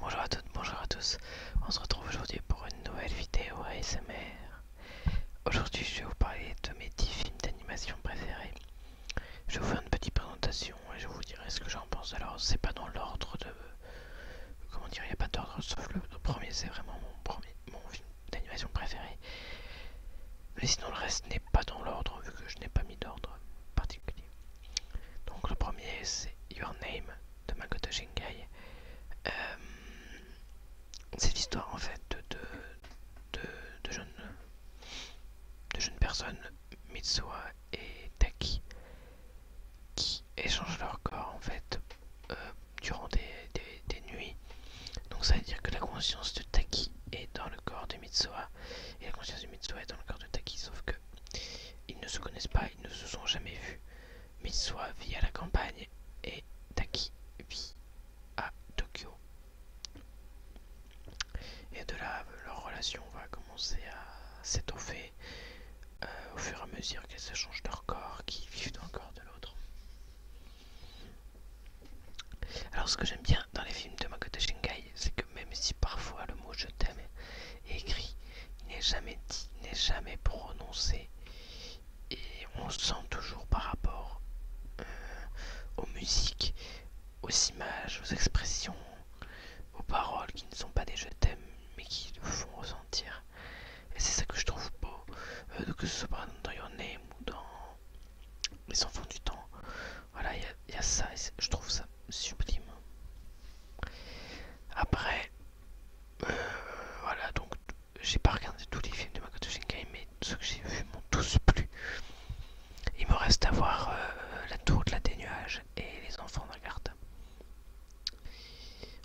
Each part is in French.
Bonjour à toutes, bonjour à tous. On se retrouve aujourd'hui pour une nouvelle vidéo ASMR. Aujourd'hui, je vais vous parler de mes 10 films d'animation préférés. Je vais vous faire une petite présentation et je vous dirai ce que j'en pense. Alors, c'est pas dans l'ordre de. Comment dire, il n'y a pas d'ordre sauf le, premier, c'est vraiment mon, premier, mon film d'animation préféré. Mais sinon, le reste n'est pas dans l'ordre vu que je n'ai pas mis d'ordre particulier. Donc le premier c'est Your Name de Makoto Shinkai. Euh, c'est l'histoire en fait de, de, jeunes, jeunes personnes, Mitsuha et Taki, qui échangent leur corps en fait euh, durant des, nuits. Donc ça veut dire que la conscience de Taki est dans le corps de Mitsuha et la conscience de Mitsuha est dans le corps de Taki, sauf que ils ne se connaissent pas, ils ne se sont jamais vus. mais soit vit à la campagne et Taki vit à Tokyo. Et de là, leur relation va commencer à s'étoffer euh, au fur et à mesure qu'elles changent leur corps, qu'ils vivent dans corps de l'autre. Alors ce que j'aime bien dans les films de Makoto Shinkai, c'est que même si parfois le mot je t'aime est écrit, il n'est jamais dit, il n'est jamais prononcé. Et on sent toujours par rapport euh, aux musiques, aux images, aux expressions, aux paroles qui ne sont pas des je t'aime mais qui nous font ressentir. Et c'est ça que je trouve beau, euh, que ce soit dans Your Name ou dans Les enfants du temps, voilà, il y, a ça, je trouve ça sublime. Après, euh, voilà, donc j'ai pas regardé tous les films de Makoto Shinkai, mais ceux que j'ai vu m'ont tous plu. Il me reste à voir euh, La Tour de la dénuage et Les Enfants la garde.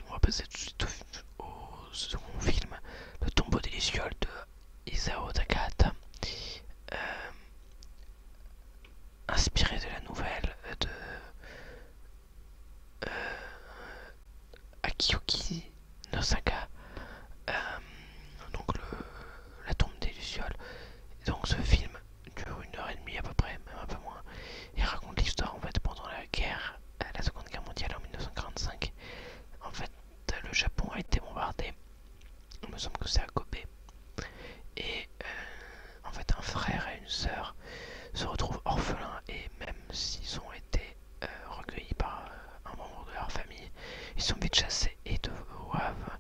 On va passer tout de suite au, second film, Le tombeau des Lucioles de Isao Takata, euh, inspiré de la nouvelle de euh, Akiyuki Nosaka, euh, donc la tombe des Lucioles. donc ce film dure une heure et demie à peu près, même un peu moins, et raconte l'histoire en fait pendant la guerre, la Seconde Guerre mondiale en 1945. En fait, euh, le Japon a été bombardé. Il me semble que c'est à Kobe. Et euh, en fait, un frère et une soeur se retrouvent orphelins et même s'ils ont été euh, recueillis par un membre de leur famille, ils sont vite chassés et doivent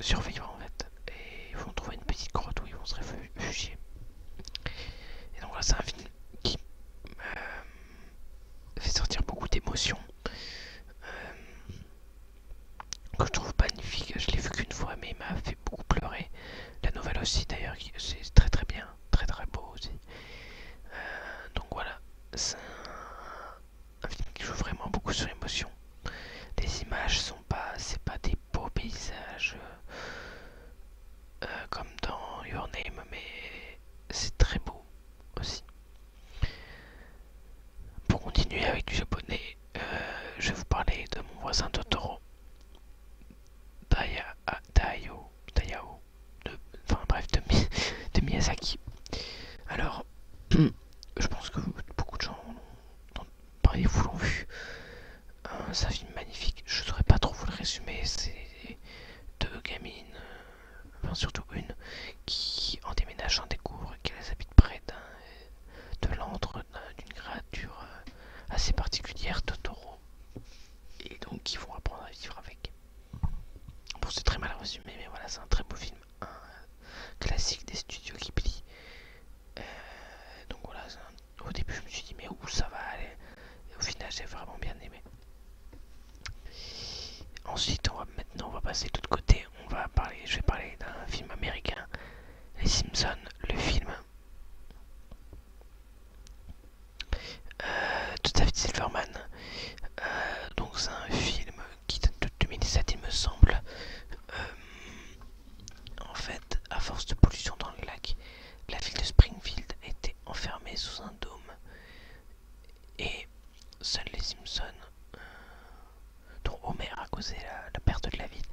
survivre en fait. Et ils vont trouver une petite grotte où ils vont se réfugier. Et donc là, c'est un film qui fait sortir beaucoup d'émotions euh, que je trouve magnifique. Je l'ai vu qu'une fois, mais il m'a fait beaucoup pleurer. La nouvelle aussi, d'ailleurs, c'est très très bien, très très beau aussi. Euh, donc voilà, c'est un, film qui joue vraiment beaucoup sur l'émotion. Les images sont pas, c'est pas des beaux paysages euh, comme dans Your Name, mais c'est très beau aussi. Pour continuer avec du japonais, euh, je vais vous parler de mon voisin Totoro. toro ah, Dayao, de, enfin bref, de, Mi, de Miyazaki. Alors, je pense que beaucoup de gens vous l'ont vu. un euh, film magnifique, je saurais pas trop vous le résumer, deux gamines, euh, enfin surtout une, qui en déménageant découvre qu'elles habitent près de l'antre d'une créature euh, assez particulière, Totoro, et donc qui vont apprendre à vivre avec. Bon, c'est très mal résumé, mais voilà, c'est un très beau film, un classique des studios Ghibli. plient. Euh, donc voilà, au début je me suis dit mais où ça va aller et au final, j'ai vraiment bien aimé. Ensuite, on va, maintenant, on va passer de l'autre côté. On va parler, je vais parler d'un film américain, Les Simpsons, le film. Tout euh, de fait Silverman. Euh, donc c'est un film qui date de 2017 il me semble. Euh, en fait, à force de pollution dans le lac, la ville de Springfield était enfermée sous un dôme et seuls les Simpsons, euh, dont Homer a causé la, perte de la ville,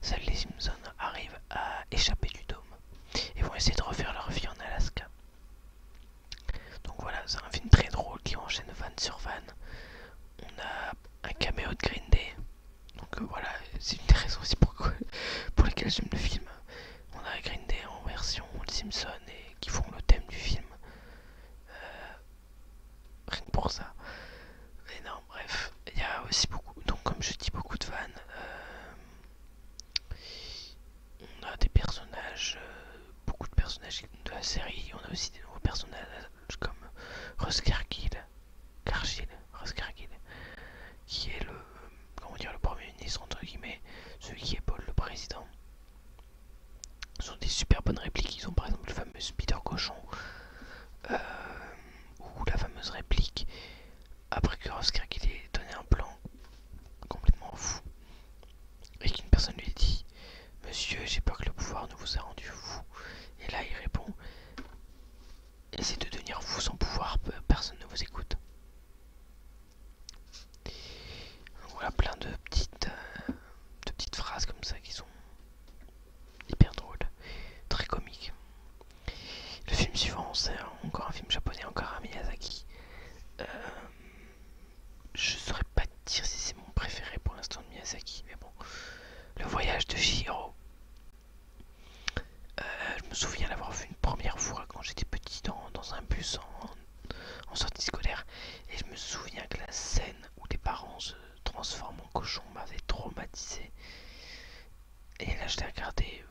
seuls les Simpsons arrivent à échapper du dôme et vont essayer de refaire leur vie en Alaska. Donc voilà, c'est un film très drôle qui enchaîne van sur van. On a un caméo de Green Day. Donc euh, voilà, c'est une des raisons aussi pour, pour je j'aime le film. Euh, on a Green Day en version Simpson et qui font le thème du film. Euh, rien que pour ça. Mais non, bref, il y a aussi beaucoup, donc comme je dis, beaucoup de fans. Euh, on a des personnages, beaucoup de personnages de la série. On a aussi des nouveaux personnages comme Russ Kargil, Raskargil, qui est le, comment dire, le premier ministre, entre guillemets, celui qui Paul, le président. Ce sont des super bonnes répliques. Ils ont par exemple le fameux Peter Cochon, euh, ou la fameuse réplique après que Raskargil ait donné un plan complètement fou et qu'une personne lui dit Monsieur, j'ai peur que le pouvoir ne vous a rendu fou. Et là, il répond c'est de devenir vous sans pouvoir, personne ne vous écoute. Voilà plein de petites, euh, de petites phrases comme ça qui sont hyper drôles, très comiques. Le film suivant, c'est encore un film japonais, encore un Miyazaki. Euh, je saurais pas dire si c'est mon préféré pour l'instant de Miyazaki, mais bon. Le voyage de Shiro. Euh, je me souviens l'avoir vu une première fois quand j'étais petit dans, un bus en, sortie scolaire. Et je me souviens que la scène où les parents se transforment en cochon m'avait traumatisé. Et là, je l'ai regardé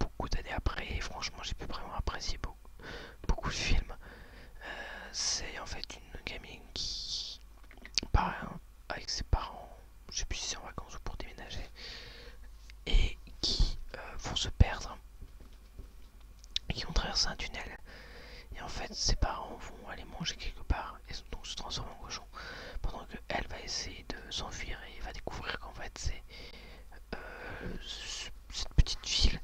beaucoup d'années après. Et franchement, j'ai pu vraiment apprécier beaucoup, de films. Euh, c'est en fait une gamine qui par hein, avec ses parents je sais plus en vacances ou pour déménager, et qui vont euh, se perdre, et qui vont traverser un tunnel. Et en fait, ses parents vont aller manger quelque part et donc se transformer en cochon, pendant que elle va essayer de s'enfuir et va découvrir qu'en fait c'est euh, cette petite ville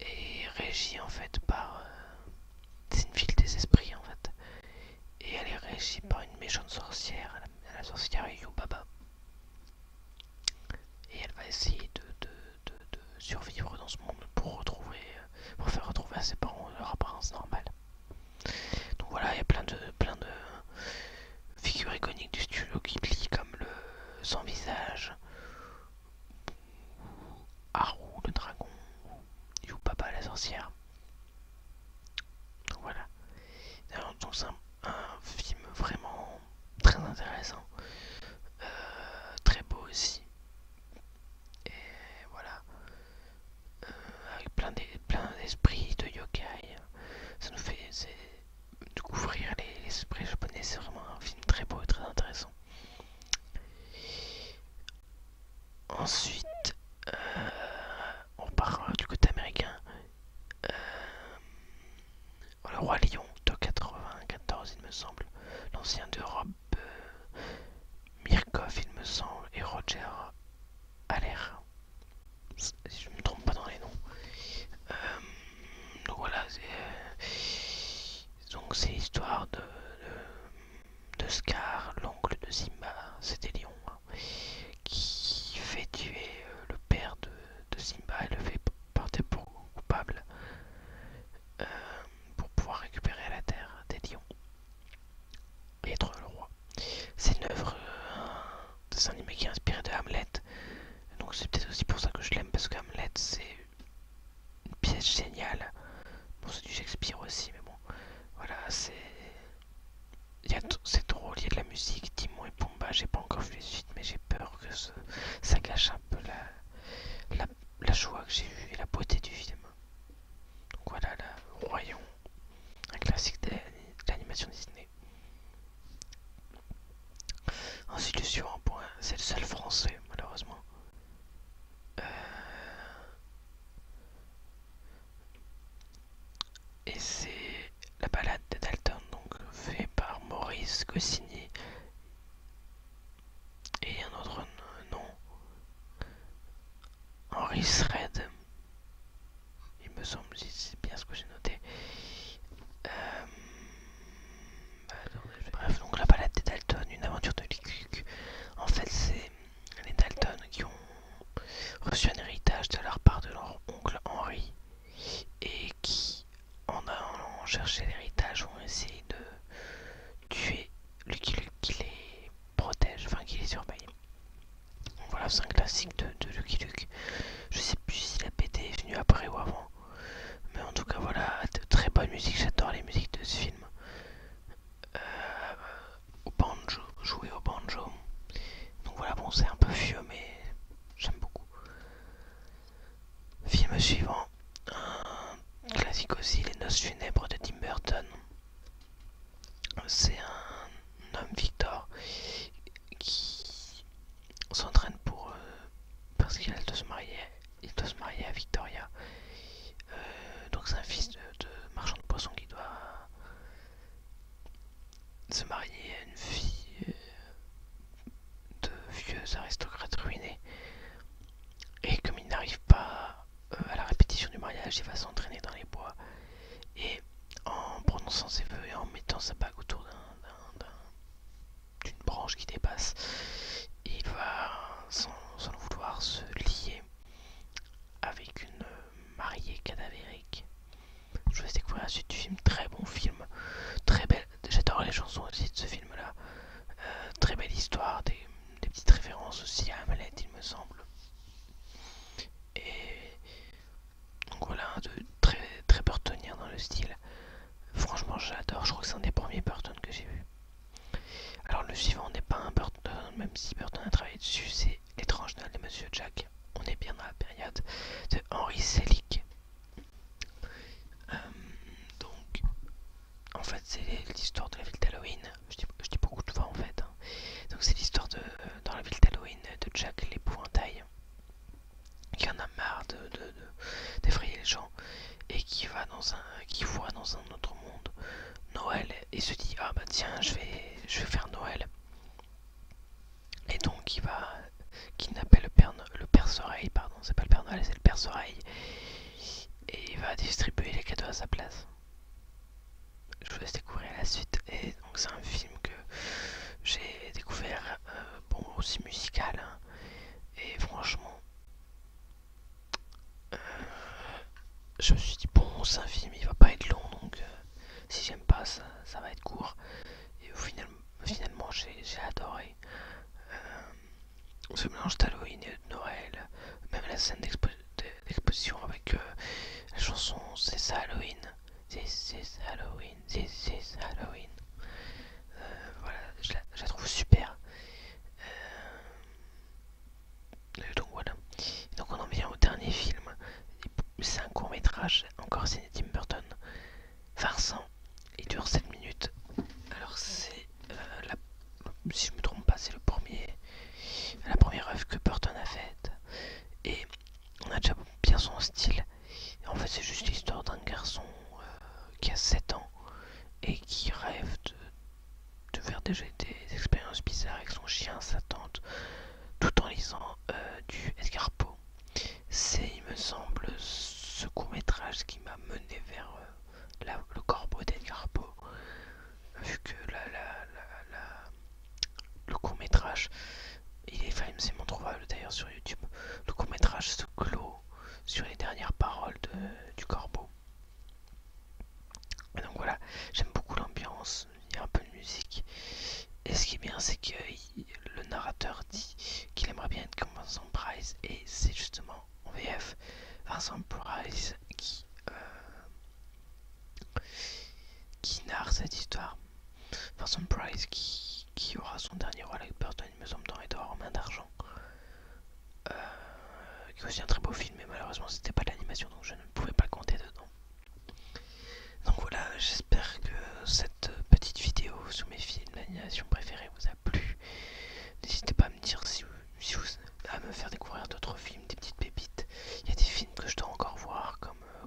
est régie en fait par euh, c'est une ville des esprits en fait. Et elle est régie par une méchante sorcière, la, sorcière Yubaba. Et elle va essayer de, survivre dans ce monde pour retrouver, euh, pour faire retrouver à ses parents leur apparence normale. Donc voilà, il y a plein de, plein de figures iconiques du studio qui Ghibli comme le sans visage, Haru le dragon, il papa la sorcière. Donc voilà. c'est un, film vraiment très intéressant. Euh, très beau aussi. Et voilà. Euh, avec plein d'esprits de, yokai. Ça nous fait découvrir les, esprits japonais. C'est vraiment un film très beau et très intéressant. Ensuite, euh, on part euh, du côté américain. Euh, le roi Lyon de 94, il me semble. L'ancien d'Europe, Mirkoff Mirkov, il me semble, et Roger Aller. Si je ne me trompe pas dans les noms. donc voilà, c'est l'histoire de de Scar, l'oncle de Simba, c'était Lion, hein, qui fait tuer euh, le père de, Simba et le fait porter pour coupable euh, pour pouvoir récupérer la terre des lions et être le roi. C'est une œuvre de euh, saint qui est inspirée de Hamlet, donc c'est peut-être aussi pour ça que je l'aime, parce que Hamlet c'est une pièce géniale. Bon, c'est du Shakespeare aussi, mais bon, voilà, c'est. drôle, il y a de la musique, Timon et Pumba, j'ai pas encore vu les suites, mais j'ai peur que ça gâche un peu la, la, la joie que j'ai eue et la beauté du film. Donc voilà, le Royaume, un classique de l'animation Disney. Ensuite, le point, c'est le seul français, malheureusement. Euh, et c'est la balade de Dalton, donc fait par Maurice Cossini et un autre nom, Henri Sred, il me semble, si c'est bien ce que j'ai noté. Euh, Bref, donc la balade des Dalton, une aventure de Luke, En fait, c'est les Dalton qui ont reçu un héritage de leur part de leur oncle Henry et qui, en allant chercher l'héritage, ont essayé de tuer Lucky Luke qui les protège, enfin qui les surveille. voilà, c'est un classique de, Lucky Luke. Je sais plus si la BD est venue après ou avant. Mais en tout cas, voilà, de très bonne musique. J'adore les musiques de ce film. Euh, au banjo, jouer au banjo. Donc voilà, bon, c'est un peu vieux, mais j'aime beaucoup. Film suivant, un classique aussi, Les Noces funèbres de Tim Burton. C'est un homme Victor qui s'entraîne pour euh, parce qu'il a de se marier il doit se marier à Victoria. Euh, donc c'est un fils de, marchand de poissons qui doit se marier à une fille euh, de vieux aristocrates ruinés. Et comme il n'arrive pas euh, à la répétition du mariage, il va s'entraîner dans les bois. Et en prononçant ses vœux et en mettant sa bague autour d'un d'une branche qui dépasse, il va sans, vouloir se lier avec une mariée cadavérique. Je vous laisse découvrir la suite du film, très bon film, très belle, j'adore les chansons aussi de ce film-là, euh, très belle histoire, des, petites références aussi à Hamlet il me semble. Et donc voilà, de très, très retenir dans le style. Franchement, j'adore. Je crois que c'est un des premiers Burton que j'ai vu. Alors, le suivant n'est pas un Burton, même si Burton a travaillé dessus. C'est L'étrange Noël de Monsieur Jack. On est bien dans la période de Henry Selick. Euh, donc, en fait, c'est l'histoire de la ville d'Halloween. Je dis, beaucoup de fois en fait. Hein. Donc, c'est l'histoire de dans la ville d'Halloween de Jack l'épouvantail qui en a marre de, d'effrayer les gens et qui va dans un qui voit dans un autre monde Noël et se dit ah bah tiens je vais je vais faire Noël et donc il va kidnapper le père le père pardon c'est pas le père Noël c'est le père Soreille et il va distribuer les cadeaux à sa place je vous laisse découvrir la suite et donc c'est un film que j'ai découvert euh, bon aussi musical hein. et franchement euh, je me suis dit bon c'est un film il va pas être long donc euh, si j'aime pas ça, va être court et finalement j'ai adoré ce mélange d'Halloween et de Noël même la scène d'exposition avec la chanson c'est ça Halloween This is Halloween, this is Halloween. Euh, voilà, je la, trouve super. Euh, donc voilà. Donc on en vient au dernier film. C'est un court métrage, encore signé Tim Burton. Vincent, il dure 7 minutes. Alors c'est, euh, si je me trompe pas, c'est le premier, la première œuvre que Burton a faite. Et on a déjà bien son style en fait, c'est juste l'histoire d'un garçon euh, qui a 7 ans et qui rêve de, faire déjà des expériences bizarres avec son chien, sa tante, tout en lisant euh, du Edgar C'est, il me semble, ce court-métrage qui m'a mené vers euh, le corbeau d'Edgar Poe, vu que la, la le court métrage, il est mon trouvable d'ailleurs sur YouTube, le court métrage se clôt sur les dernières paroles du corbeau. donc voilà, j'aime beaucoup l'ambiance, il y a un peu de musique. Et ce qui est bien, c'est que le narrateur dit qu'il aimerait bien être comme Vincent Price, et c'est justement en VF Vincent Price qui, euh, qui narre cette histoire. Vincent Price, qui, aura son dernier rôle avec Burton, il me semble, dans dehors en main d'argent. Euh, qui est aussi un très beau film, mais malheureusement, c'était pas de l'animation, donc je ne pouvais pas compter dedans. Donc voilà, j'espère que cette petite vidéo sur mes films d'animation préférée vous a plu. N'hésitez pas à me dire si si à me faire découvrir d'autres films, des petites pépites. Il y a des films que je dois encore voir, comme euh,